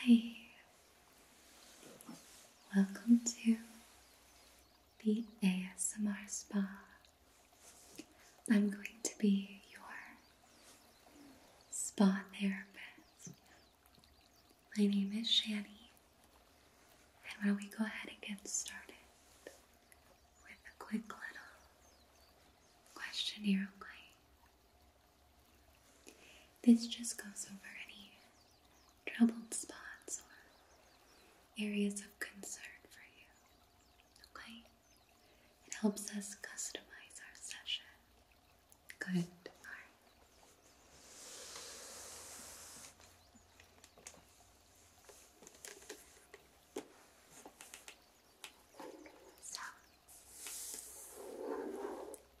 Hi, welcome to the ASMR Spa. I'm going to be your spa therapist. My name is Shani, and why do we go ahead and get started with a quick little questionnaire line this just goes over any troubled spots or areas of concern for you. Okay? It helps us customize our session. Good. All right.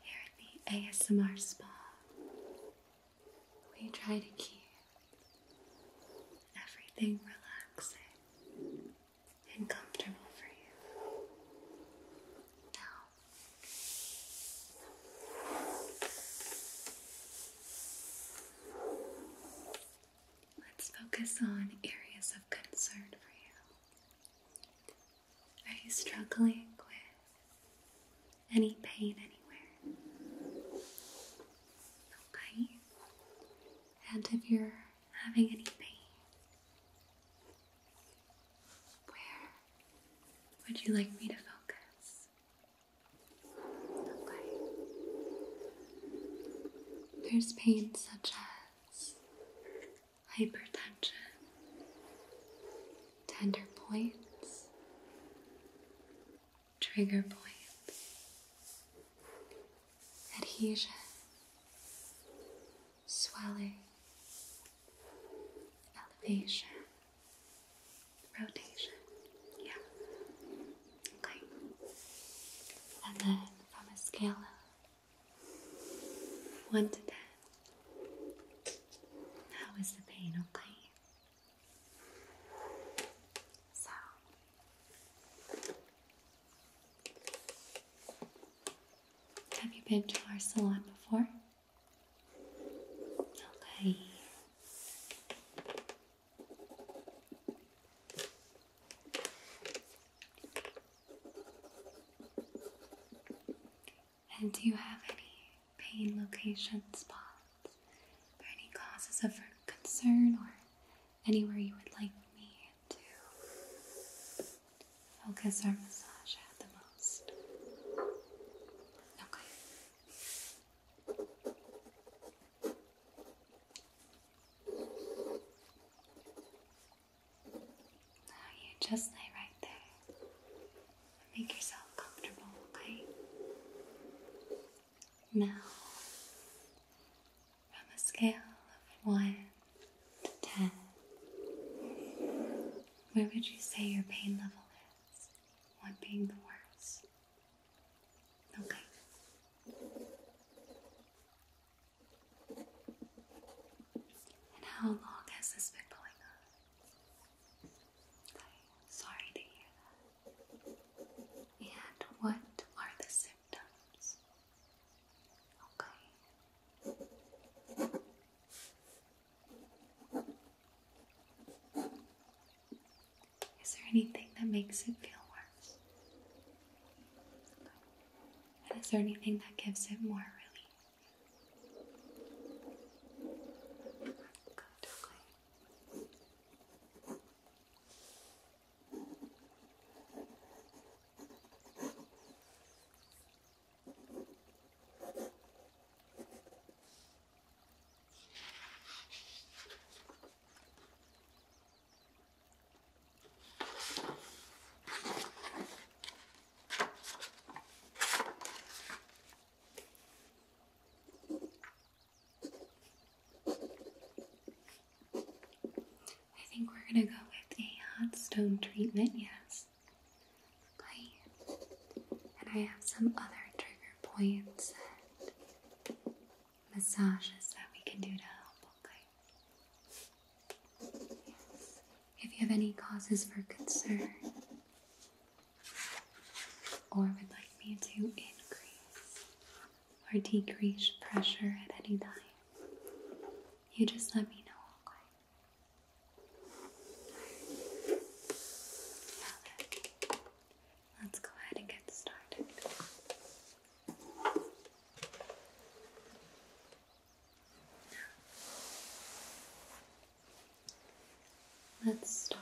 Here at the ASMR Spa, we try to keep everything relaxing and comfortable for you. Now, let's focus on areas of concern for you. Are you struggling with any pain anywhere? Okay. And if you're having any pain, where would you like me to focus? Okay. There's pain such as hypertension, tender points, trigger points, adhesion, swelling, elevation, rotation. Yeah. Okay. And then from a scale one to ten. How is the pain, okay? So. Have you been to our salon before? Okay. And do you have any pain location spots or any causes of concern or anywhere you would like me to focus our massage at the most? Okay. Now you just lay right there and make yourself comfortable, okay? Now, from a scale of 1 to 10, where would you say your pain level is? 1 being the worst. Okay. And how long has this been going on? sorry to hear And what are the symptoms? Okay. Is there anything that makes it feel worse? And is there anything that gives it more relief? I think we're going to go with a hot stone treatment, yes. And I have some other trigger points and massages that we can do to help, okay? If you have any causes for concern or would like me to increase or decrease pressure at any time, you just let me know, let's go ahead and get started. Let's start.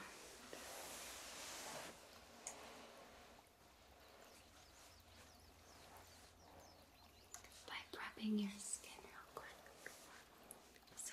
By prepping your skin real quick. So,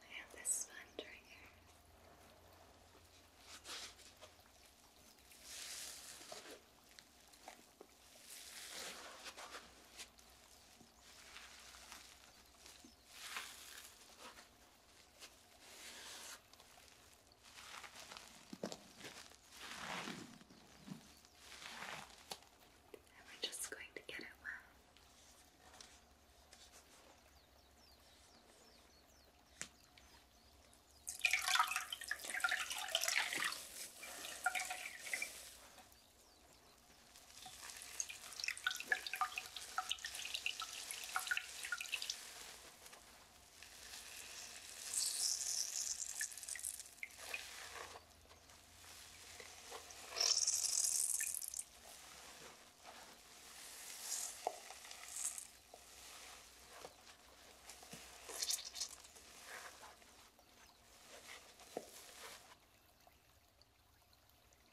I have this sponge right here. And we're just going to get it well. Now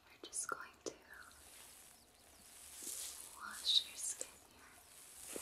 we're just going to wash your skin here.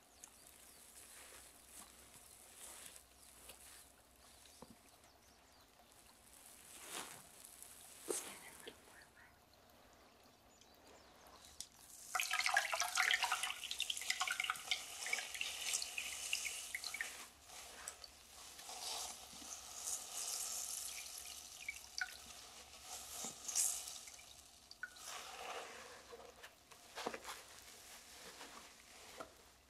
Stand a little more away. Good.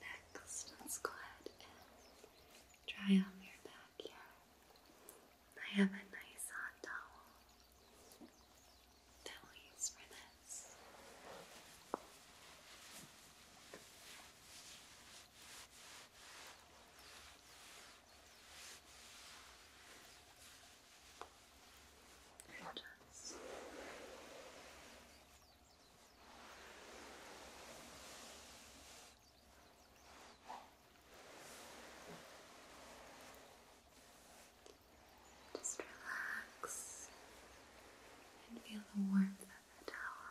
Next, let's go ahead and dry off your back here. I have a nice hot towel that we'll use for this. And just just relax and feel the warmth of the towel.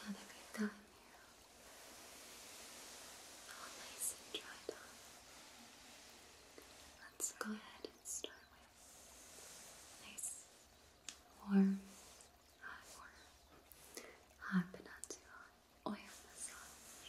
Not a good time All nice and dried up. Let's go ahead and start with nice, warm, hot water. Hot but not too hot. Oil massage.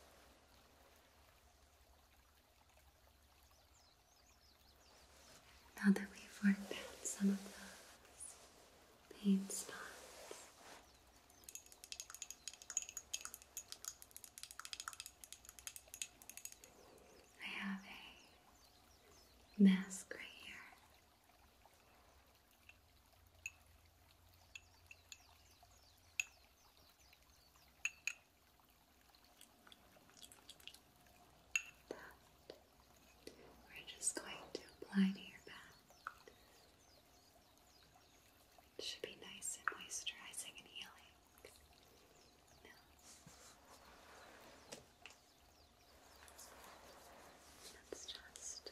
Now that we've worked out some of the pain spots, I have a mask right here we're just going to apply to your back. It should be nice and moisturizing and healing. No. just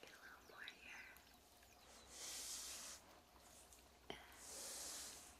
Get a little more here. And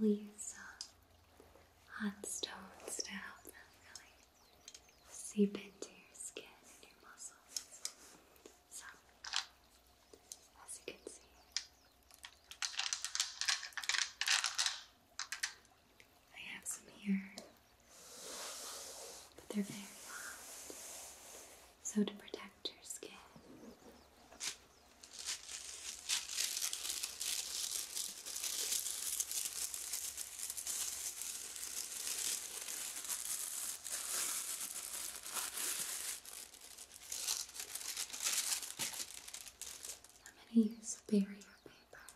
Now we'll use a uh, hot stones to help them really seep into your skin and your muscles. So, as you can see, I have some here, but they're very long. So to protect your skin, I'm going to use barrier paper.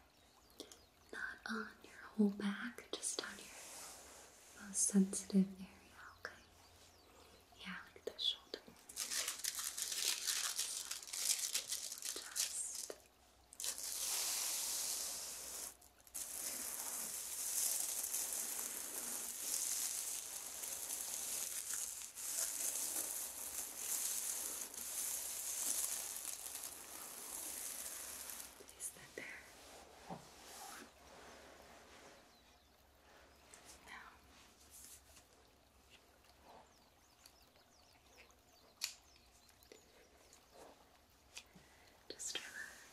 Not on your whole back, just on your most sensitive area, okay? Yeah, like the shoulder. He's not there. Now. Just relax. Now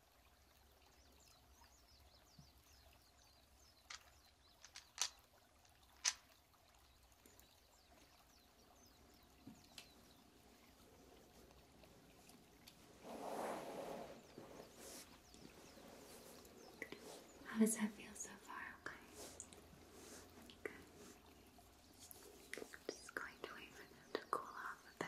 How does that feel so far? Okay. just going to wait for them to cool off a bit.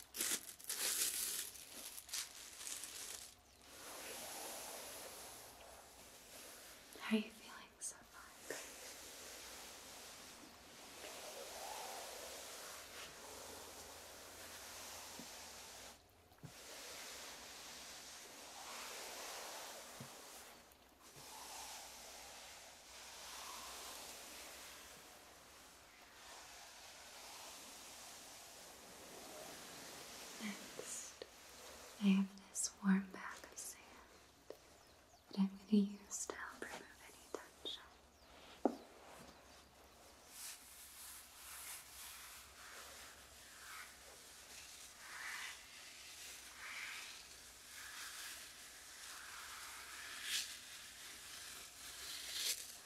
How are you feeling so far? Next, I have this warm bag of sand that I'm going to use to help remove any tension.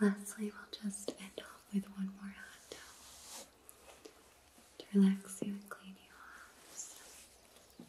Lastly, we'll just end off with one more hot towel to relax you and clean you off.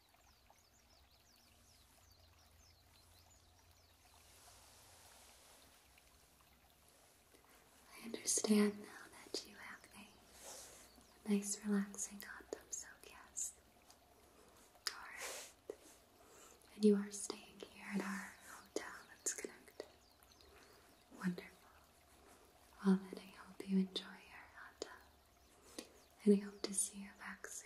I understand now that you have a nice relaxing autumn soulcast. Alright. And you are staying here at our hotel that's connected. Wonderful. Well then I hope you enjoy your autumn. And I hope to see you back soon.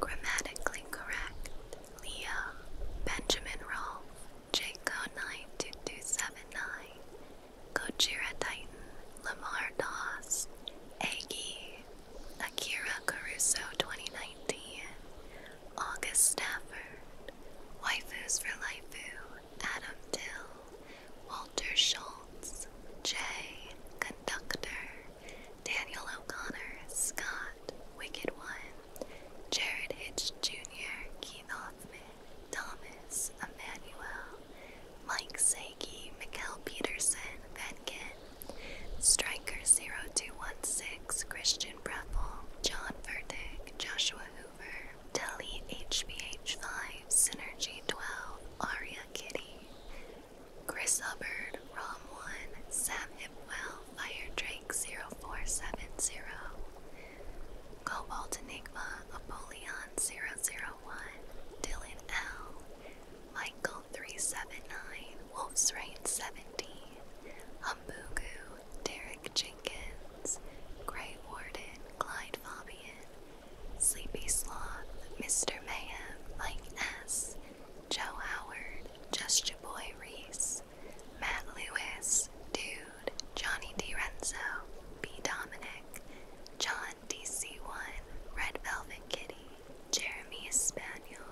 Grammatically correct Leah, Benjamin Rolfe, Jco92279, Gojira Titan, Lamar Doss, Aggie, Akira Caruso 2019, August Stafford, Waifus for Laifu, Adam Dill, Walter Schultz, Jay, Conductor, Daniel O'Connor, Scott, Wicked One, Jared Hitch Jr., Keith Hoffman, Thomas, Emmanuel, Mike Sakey, Mikkel Peterson, Venkin, Striker0216, Christian Breffel, John Verdick, Joshua Hoover, Deli hph 5 Synergy 12, Aria Kitty, Chris Hubbard, Rom1, Sam Hipwell, Fire Drake 0470, Cobalt Enigma, Apollyon 001, Dylan L, Michael 379, Wolf's Rain 70, Humbugu, Derek Jenkins, Grey Warden, Clyde Fabian, Sleepy Sloth, Mr. Mayhem, Mike S., Joe Howard, Just Your Boy Reese, Matt Lewis, Dude, Johnny Renzo, B. Dominic, John DC1, Red Velvet Kitty, Jeremy Spaniel.